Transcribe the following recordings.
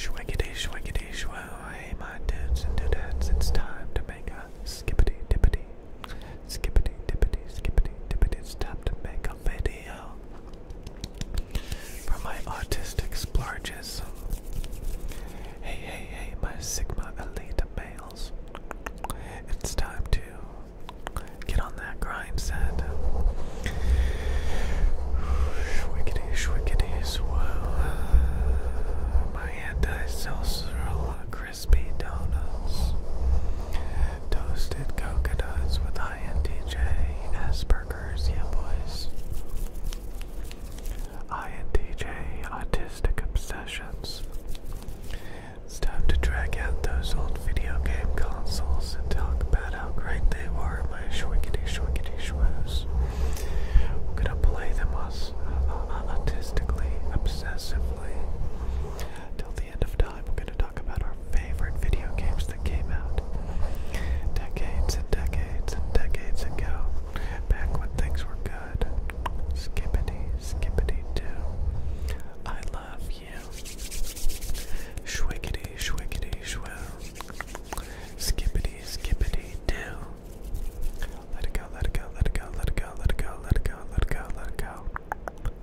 Shwaggity, shwaggity, shwo. Hey, my dudes and dudettes, it's time to make a skippity dippity. Skippity dippity, skippity dippity. It's time to make a video for my autistic splurges. Hey, hey, hey, my Sigma Elite males. It's time to get on that grind set. Swiggity, swiggity, swirl. Uh, my anti-social crispy donuts. Toasted coconuts with INTJ Asperger's, yeah boys. INTJ Autistic Obsessions. It's time to drag out those old video game consoles and talk about about how great they were, my shwinkity shwinkity shwoos. gonna play them us uh, uh, artistically, obsessively. Till the end of time, gonna talk about our favorite video games that came out decades and decades and decades ago, back when things were good. Skippity, skippity, do. I love you. Shwiggity, shwiggity, shwoo. Skippity, skippity, do. Let it go, let it go, let it go, let it go, let it go, let it go, let it go, let it go.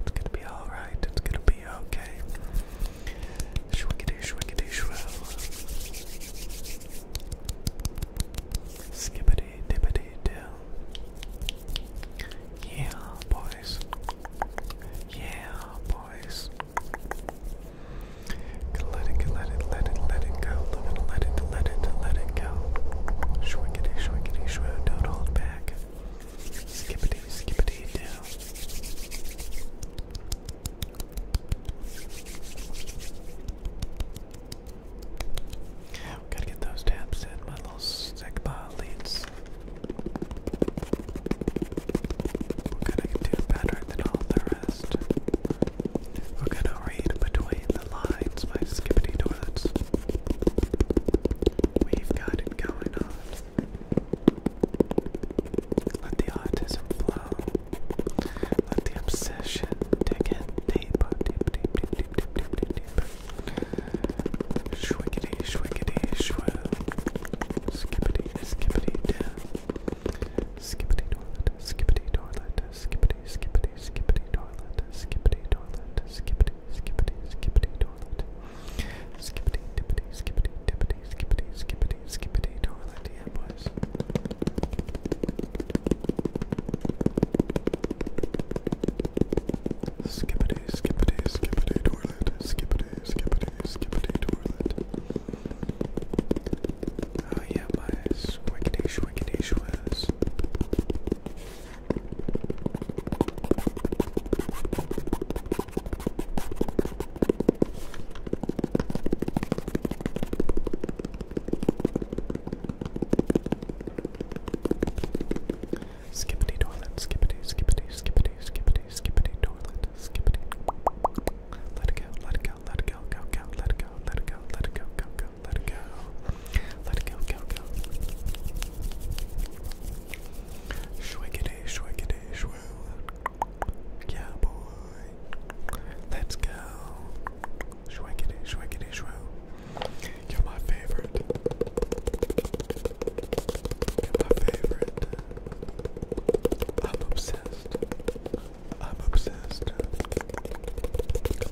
It's gonna be alright, it's gonna be okay. Shwiggity, shwiggity, shrow. Skippity, dippity, do. Yeah, boys. Yeah, boys noise. Let it, let it, let it, let it go. Let it, let it, let it go. Shwinkity, shwinkity, shwoo. Don't hold back. Skippity, skippity, do. Gotta get those taps in. My little sick leads. We're gonna do better than all the rest. We're gonna read between the lines, my skippity toilets. We've got it going on. Let the autism flow. Let the obsession dig in deeper, deep, deep, deep, deep, deep, deep, deep, deep. Shwiggity, shwiggity, shwoo. Skippity, skippity, down. Skippity toilet, skippity toilet, skippity, skippity, skippity toilet, skippity toilet, skippity, skippity, skippity toilet. Skippity, dippity, skippity, dippity, skippity, skippity, skippity toilet, yeah, boys. Skippity, skippity, skippity toilet, skippity, skippity, skippity toilet. Oh yeah, my swiggity swiggity shwiz. Skippity toilet, skippity, skippity, skippity, skippity skippity, skippity toilet, skippity. Let it go, let it go, let it go, go, go, let it go, let it go, let it go, go, go, let it go. Let it go, go, go. Shwiggity, shwiggity, shwoo. Yeah, boy. Let's go. Shwiggity, shwiggity, shwoo. You're my favorite. You're my favorite. I'm obsessed. I'm obsessed.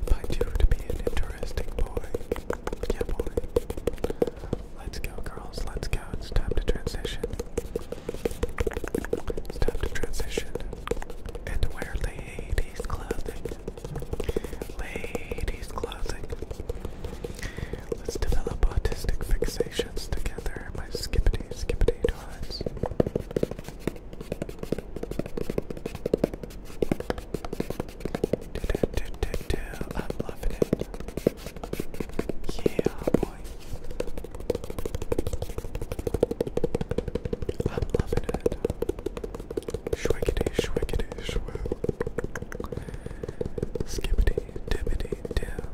Find you to be an interesting boy. Yeah, boy. Let's go, girls. Let's go. It's time to transition. It's time to transition and wear clothing. Ladies' clothing. Let's develop autistic fixations together, my skippity skippity dots. I'm loving it. Yeah, boy. I'm loving it. Shwiggity, shwiggity, shwoo. Skippity dippity doo.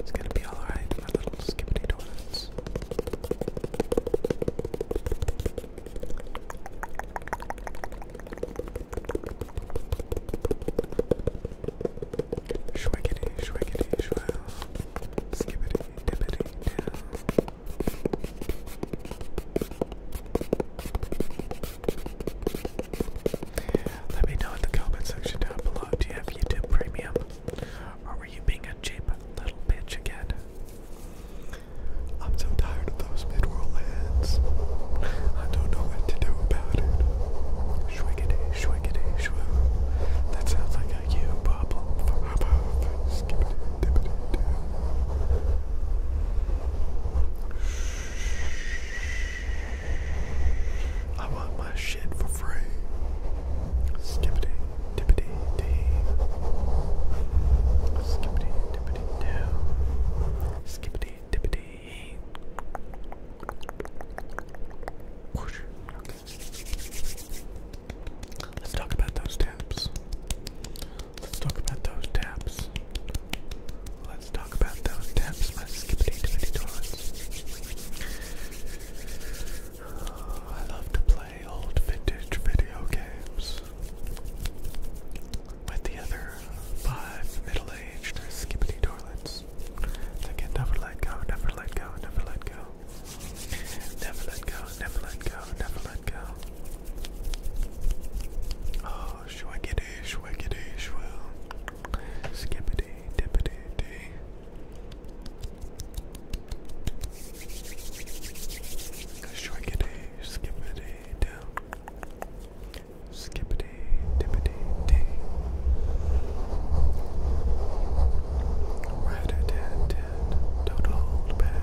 It's gonna be alright, my little skippity donuts. Shwiggity, shwiggity, shwow. Skippity, dippity, let me know in the comment section down below. Do you have YouTube Premium? Or were you being a cheap little bitch again? I'm so tired of those mid-roll ads. I don't know what to do about it. Shwiggity, shwiggity, shwoo. That sounds like a you problem. I want my shit for free. Skippity, dippity, dee. Skippity, dippity, doo. Skippity, dippity. Let's talk about those tabs. Let's talk about those taps. Let's talk about those taps, my skippity dippity I love to play old vintage video games with the other five middle aged skippity dorlets. They can never let go, never let go, never let go. Never let go, never let go, go, never let go. Oh, shwaggity, shwaggity, shwell. Skippity, dippity, dee. Shwaggity, skippity, down. Skippity, dippity, dee. Right at tat, tat, do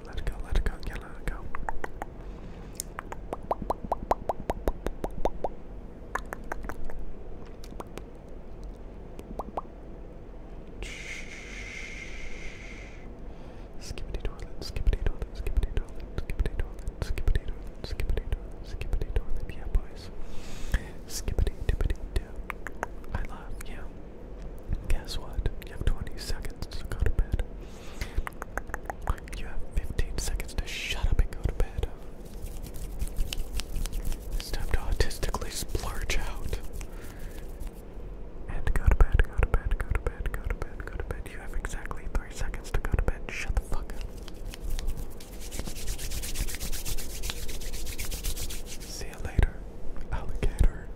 let it go, let it go, yeah, let it go. Skippity toilet, skippity toilet, skippity toilet, skippity toilet, skippity toilet, skippity toilet, skippity toilet, yeah boys. Skippity dippity I love you. Guess what? You have 20 seconds to go to bed. You have 15 seconds to shut up and go to bed. It's time to autistically splurge out. And go to bed, go to bed, go to bed, go to bed, go to bed. You have exactly 3 seconds to go to bed. Shut the fuck up. See you later, alligator.